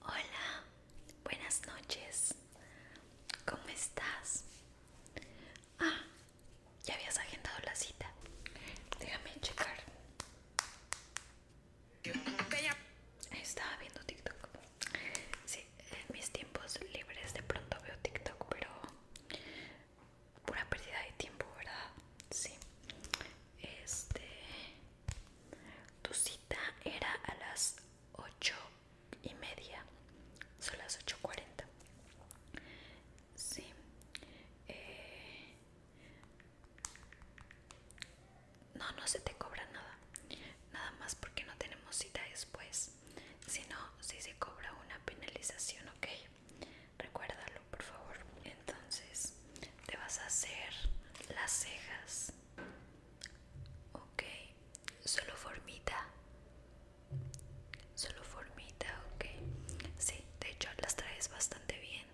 Hola, buenas noches. ¿Cómo estás? Ah, ya habías agendado la cita. Déjame checar. Estaba viendo TikTok. Sí, en mis tiempos libres de pronto veo TikTok, pero pura pérdida de tiempo, ¿verdad? Sí. Este. Tu cita era a las 8 y media. Son las 8.40. Sí. Eh, no, no se te cobra nada. Nada más porque no tenemos cita después. Si no, sí se cobra una penalización, ¿ok? recuérdalo por favor entonces te vas a hacer las cejas ok solo formita solo formita ok sí de hecho las traes bastante bien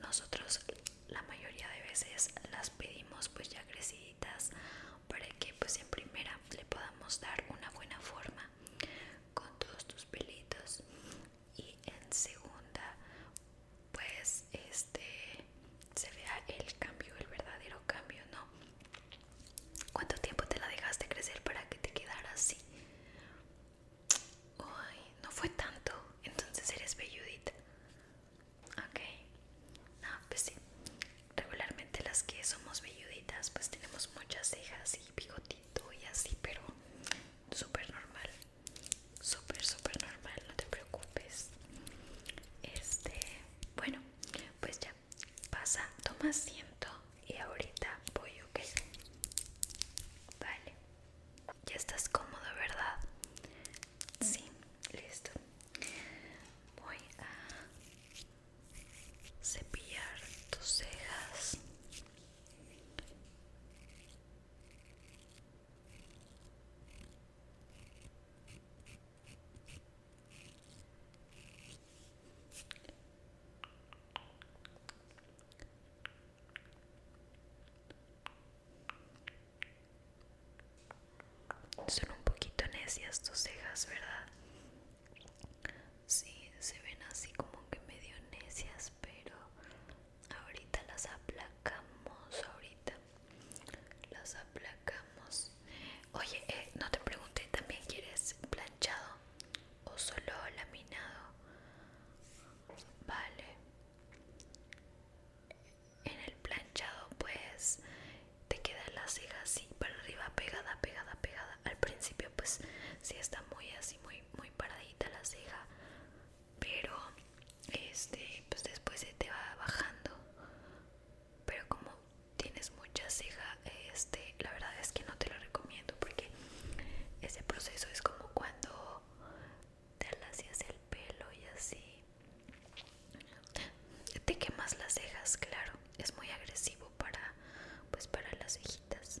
nosotros la mayoría de veces las pedimos pues ya crecidas para que pues en primera le podamos dar una buena forma con todos tus pelitos y en segunda pues este se vea el cambio el verdadero cambio no cuánto tiempo te la dejaste crecer para que te quedara así Ay, no fue tanto entonces eres velludita ok no pues sí regularmente las que somos velluditas pues tenemos muchas cejas y bigotito y así pero súper normal súper súper normal no te preocupes este bueno pues ya pasa toma asiento y ahorita voy ok vale ya estás cómodo verdad sí listo voy a cepillar tus cejas son un poquito necias tus cejas, ¿verdad? Sí, se ven así como que medio necias, pero ahorita las aplacamos ahorita las aplacamos oye eh, no te pregunté también quieres planchado o solo laminado vale en el planchado pues te queda la ceja así para arriba pegada pegada pegada al principio pues si sí está muy así muy, muy paradita la ceja pero este pues después se te va bajando pero como tienes mucha ceja este la verdad es que no te lo recomiendo porque ese proceso es como cuando te alacias el pelo y así te quemas las cejas claro es muy agresivo para pues para las cejitas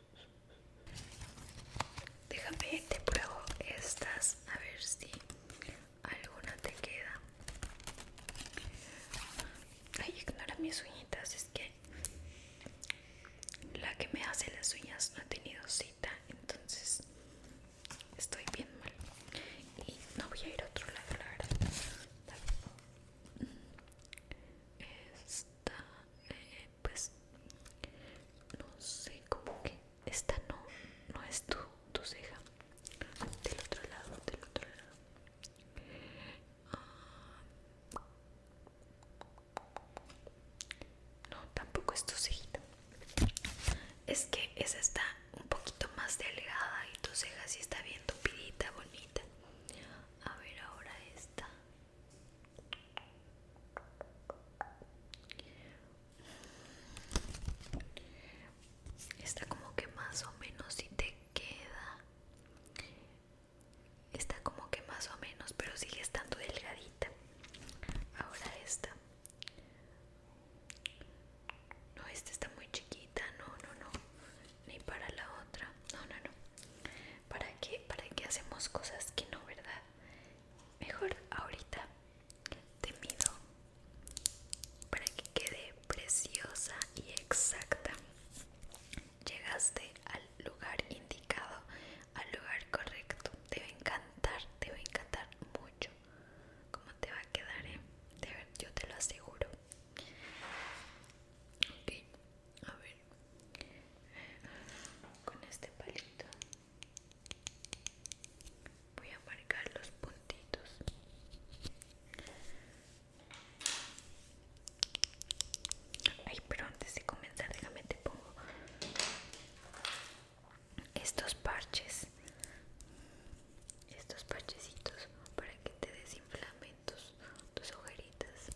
Déjame, te pruebo estas a ver si alguna te queda. Ay, ignora mis uñitas, es que la que me hace las uñas no ha tenido cita, entonces estoy bien mal. Y no voy a ir a otro lado, la verdad esta eh, pues no sé como que esta no no es tu, ceja del otro lado del otro lado ah. no tampoco es tu cejita es que esa está un poquito más delgada y tu ceja sí está bien tupidita bonita a ver ahora esta. Está como que más o menos si te queda. Está como que más o menos, pero sigue estando delgadita. Ahora esta. No, esta está muy chiquita. No, no, no ni para la otra. No, no, no. ¿Para qué? ¿Para que hacemos cosas que no, verdad? Mejor ahorita te mido para que quede preciosa y exacta. Llegaste al lugar indicado, al lugar correcto. Te va a encantar, te va a encantar mucho. ¿Cómo te va a quedar, eh? yo te lo aseguro. Ok, a ver eh, con este palito voy a marcar los puntitos ay pero antes de comenzar déjame te pongo estos parches estos parchecitos para que te desinflame tus, ojeritas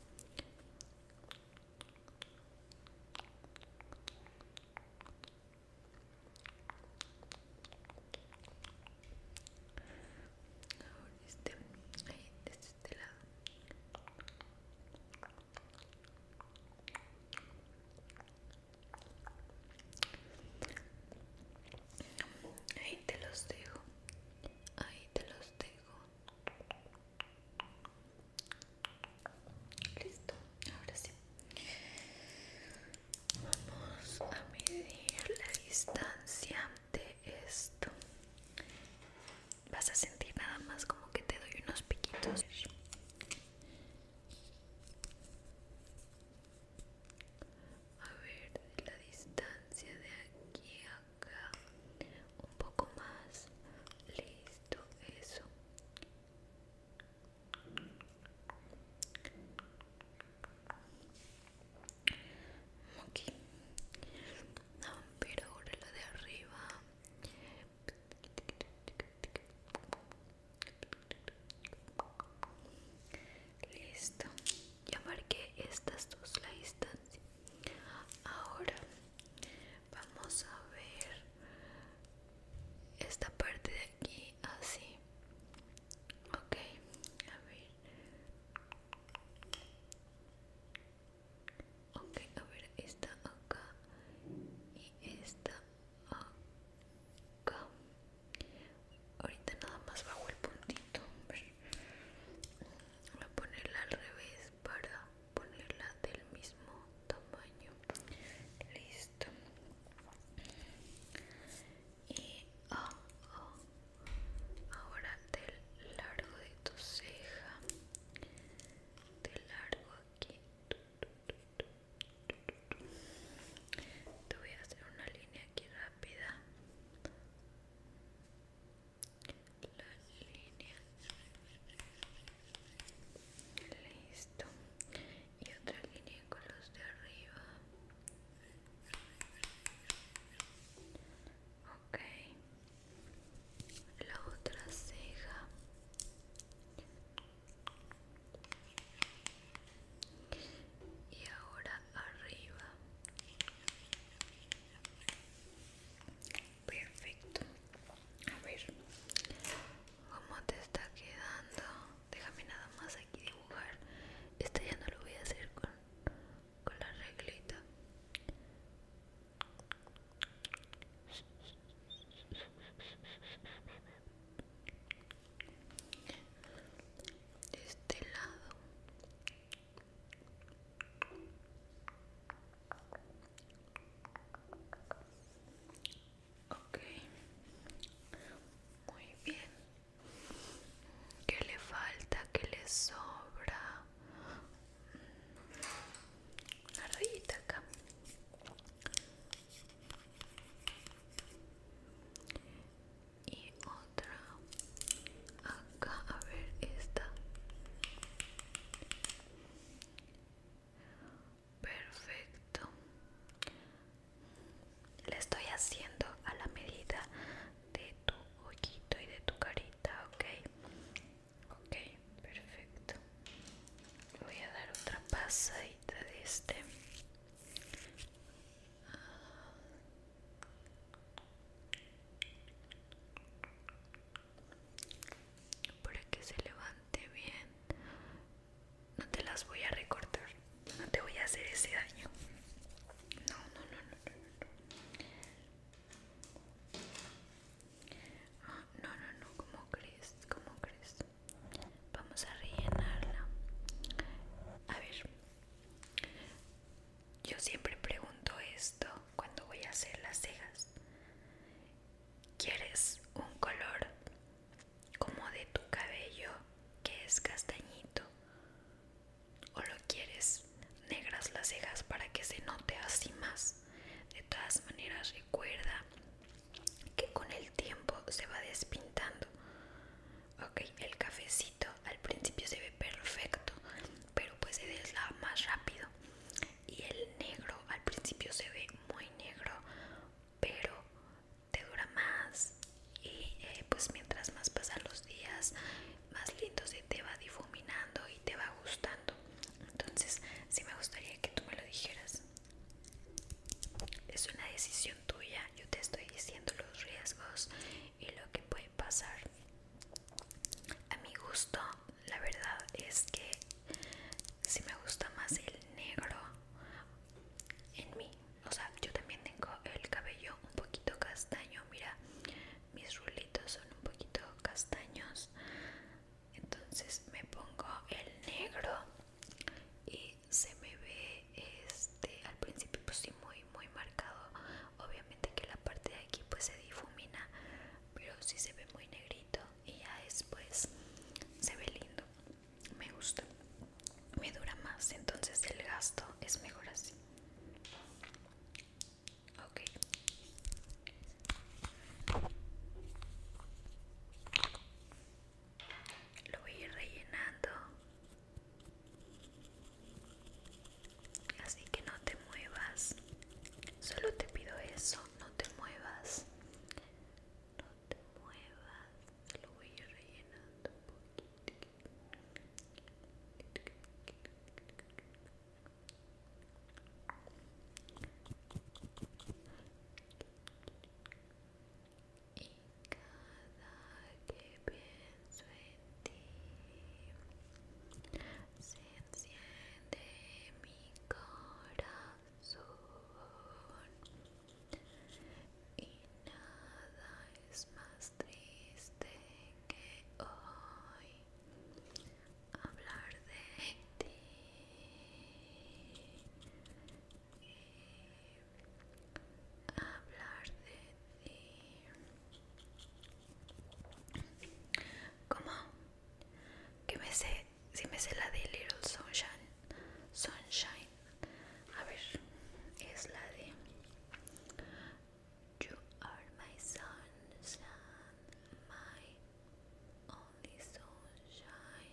ahora este ahí desde este, este lado Ahí te los dejo, ahí te los listo ahora sí vamos a medir la distancia de esto vas a sentir nada más como que te doy unos piquitos a ver la distancia de aquí a un poco más listo eso ok pero ahora lo de arriba listo ya marqué estas dos la distancia ahora vamos a ver esta parte de aquí así ok a ver ok a ver esta acá y esta acá ahorita nada más bajo el puntito voy a ponerla al revés para ponerla del mismo tamaño listo y ah, ah, ahora del largo de tu ceja del largo aquí te voy a hacer una línea aquí rápida la línea listo y otra línea con los de arriba ok la otra ceja y ahora arriba perfecto a ver cómo te está quedando déjame nada más aquí dibujar esto ya no lo voy a hacer con, con la reglita de este lado Ok, muy bien. ¿Qué le falta? ¿Qué le sobra? Una rayita acá y otra acá a ver esta perfecto le estoy haciendo a la medida de tu ojito y de tu carita ok ok perfecto voy a dar otra pasadita de este para que se levante bien no te las voy a recortar no te voy a hacer ese daño no no no no no no no ah, no, como crees como crees vamos a rellenarla a ver yo siempre pregunto esto cuando voy a hacer las cejas. ¿Quieres un color como de tu cabello que es castañito? ¿O lo quieres negras las cejas para que se note así más? De todas maneras recuerda que con el tiempo se va despintando. Ok, el cafecito al principio se ve perfecto pero pues se deslava más rápido y el negro al principio se ve muy negro pero te dura más y eh, pues mientras más pasan los días más lindo se te va difuminando y te va gustando entonces si me gustaría que tú me lo dijeras es una decisión tuya, yo te estoy diciendo los riesgos y lo que puede pasar. A mi gusto, la verdad es que si me gusta más el negro en mí, o sea, yo también tengo el cabello un poquito castaño, mira, mis rulitos son un poquito castaños, entonces me pongo el negro y se me ve este al principio pues sí muy muy marcado obviamente que la parte de aquí pues se difumina pero si se ve muy negrito y ya después se ve lindo me gusta me dura más entonces el gasto es mejor así ok lo voy a ir rellenando Así que no te muevas. Solo te pido eso, no te muevas. No te muevas. Lo voy a ir rellenando un poquito y cada que pienso en ti se enciende mi corazón y nada es más triste que hoy hablar de ti ¿Cómo? Que me sé, si me sé la de Little Sunshine, Sunshine. A ver, es la de You are my sunshine, my only sunshine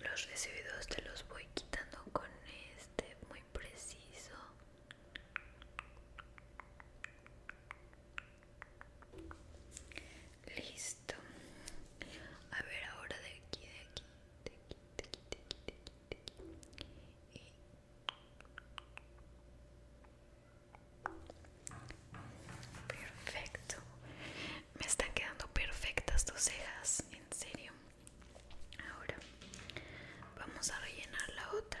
Los residuos te los voy quitando con este muy preciso. Listo. A ver ahora de aquí, de aquí, de aquí, de aquí, de aquí, de aquí, de aquí. Perfecto. Me están quedando perfectas tus cejas, en serio. Ahora vamos a rellenar la otra.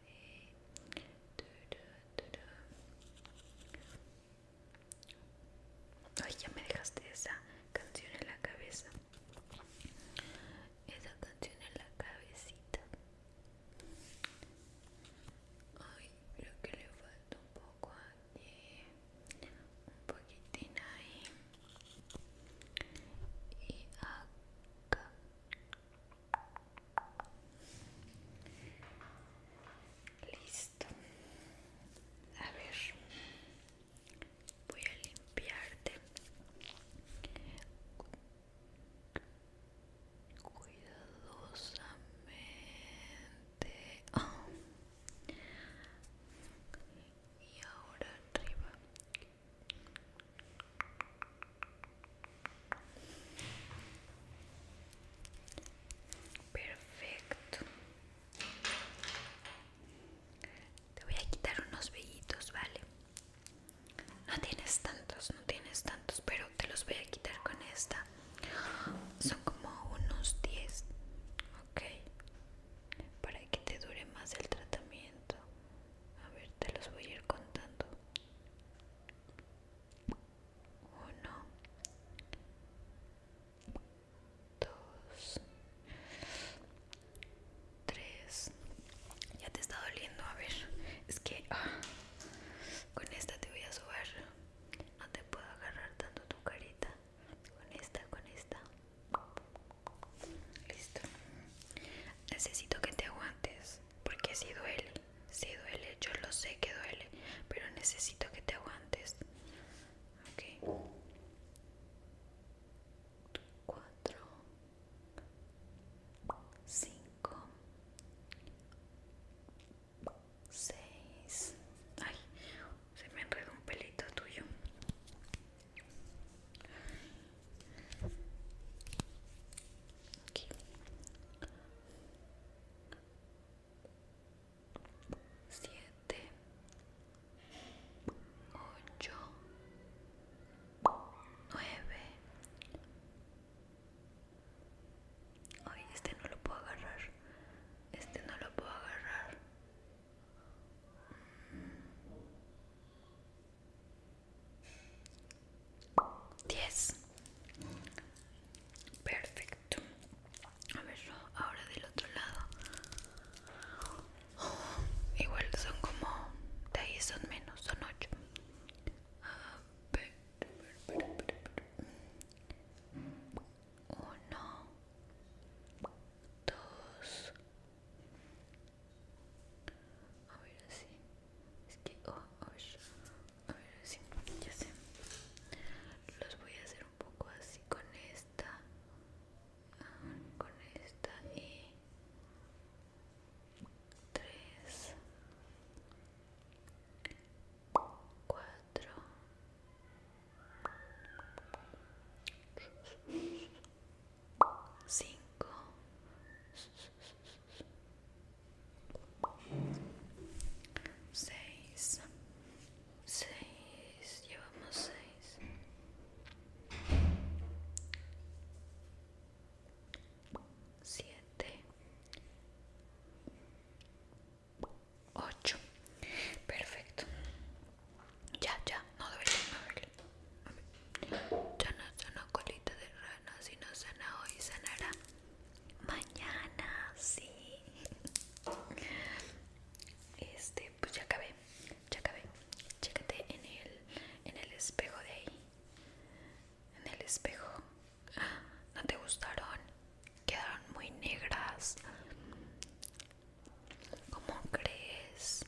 Ay, ya me dejaste esa canción en la cabeza. Esa canción en la cabecita. Ay, creo que le falta un poco aquí. Un poquitín ahí. Y acá. Listo. A ver. Voy a limpiarte. Cuidadosamente. Ah. Y ahora arriba. Perfecto. Te voy a quitar unos vellitos, ¿vale? No tienes tantos, no tienes tantos, pero te los voy a quitar con esta. Son como unos 10, ¿ok? Para que te dure más el tratamiento. A ver, te los voy a ir contando uno, 2, 3 Ya te está doliendo, a ver. Es que ah, con esta te voy a subir. No te puedo agarrar tanto tu carita. Con esta, con esta. Listo. Necesito que te aguantes porque si duele. Si duele, yo lo sé que duele, pero necesito que te aguantes. Ok. Cuatro. Cinco. Seis. Ay, se me enredó un pelito tuyo. 7 8 9 hoy este no lo puedo agarrar este no lo puedo agarrar 10 perfecto a ver yo ahora del otro lado oh, igual son como de ahí son menos son 8 a ver, a ver así. Es que, oh, a ver así. Ya sé. Los voy a hacer un poco así con esta. Con esta y tres, cuatro, cinco, seis, seis, llevamos seis, siete, ocho, perfecto, ya, ya, no debería ya no no colita de rana, si no sana hoy sanará mañana, sí. Este, pues ya acabé, ya acabé. Chécate en el, en el espejo de ahí. En el espejo. No te gustaron, quedaron muy negras. ¿Cómo crees?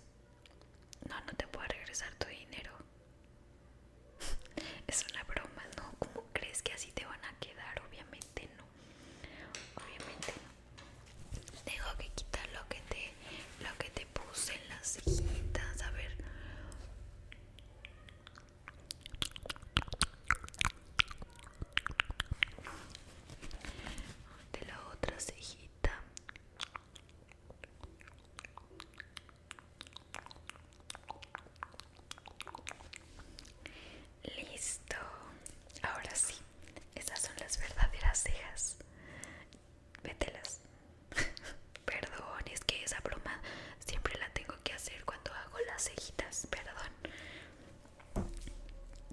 No, no te puedo regresar tu dinero. es una broma, ¿no? ¿Cómo crees que así te van a quedar? Obviamente no. Obviamente no. Tengo que quitar lo que te, lo que te puse en las cejitas. A ver. De la otra cejita. Listo. Ahora sí. Esas son las verdaderas cejas. Vételas. Perdón, es que esa broma siempre la tengo que hacer cuando hago las cejitas. Perdón.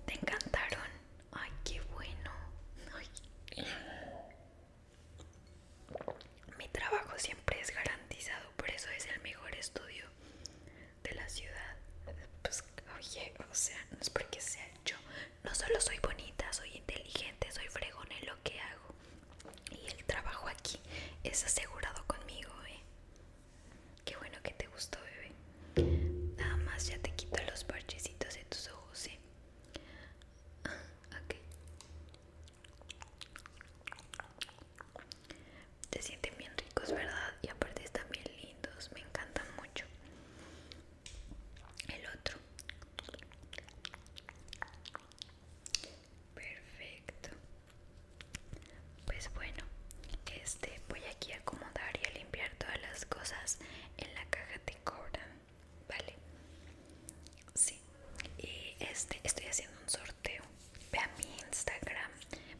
¿Te encantaron? Ay, qué bueno. Mi trabajo siempre es garantizado, por eso es el mejor estudio de la ciudad. Pues, oye, o sea, no es porque sea yo. No solo soy bonita, soy inteligente, soy fregona en lo que hago. Y el trabajo aquí es asegurado conmigo, ¿eh? Qué bueno que te gustó, bebé. Nada más ya te quito los parchecitos de tus ojos, ¿eh? ok se sienten bien ricos verdad y aparte están bien lindos me encantan mucho el otro perfecto pues bueno este voy aquí a acomodar y a limpiar todas las cosas en la caja de cobran Vale. Sí. Y este estoy haciendo un sorteo. Ve a mi Instagram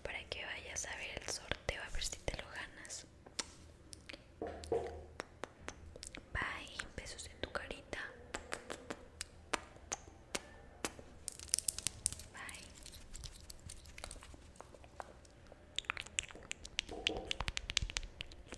para que vayas a ver el sorteo a ver si te lo ganas. Bye, besos en tu carita. Bye.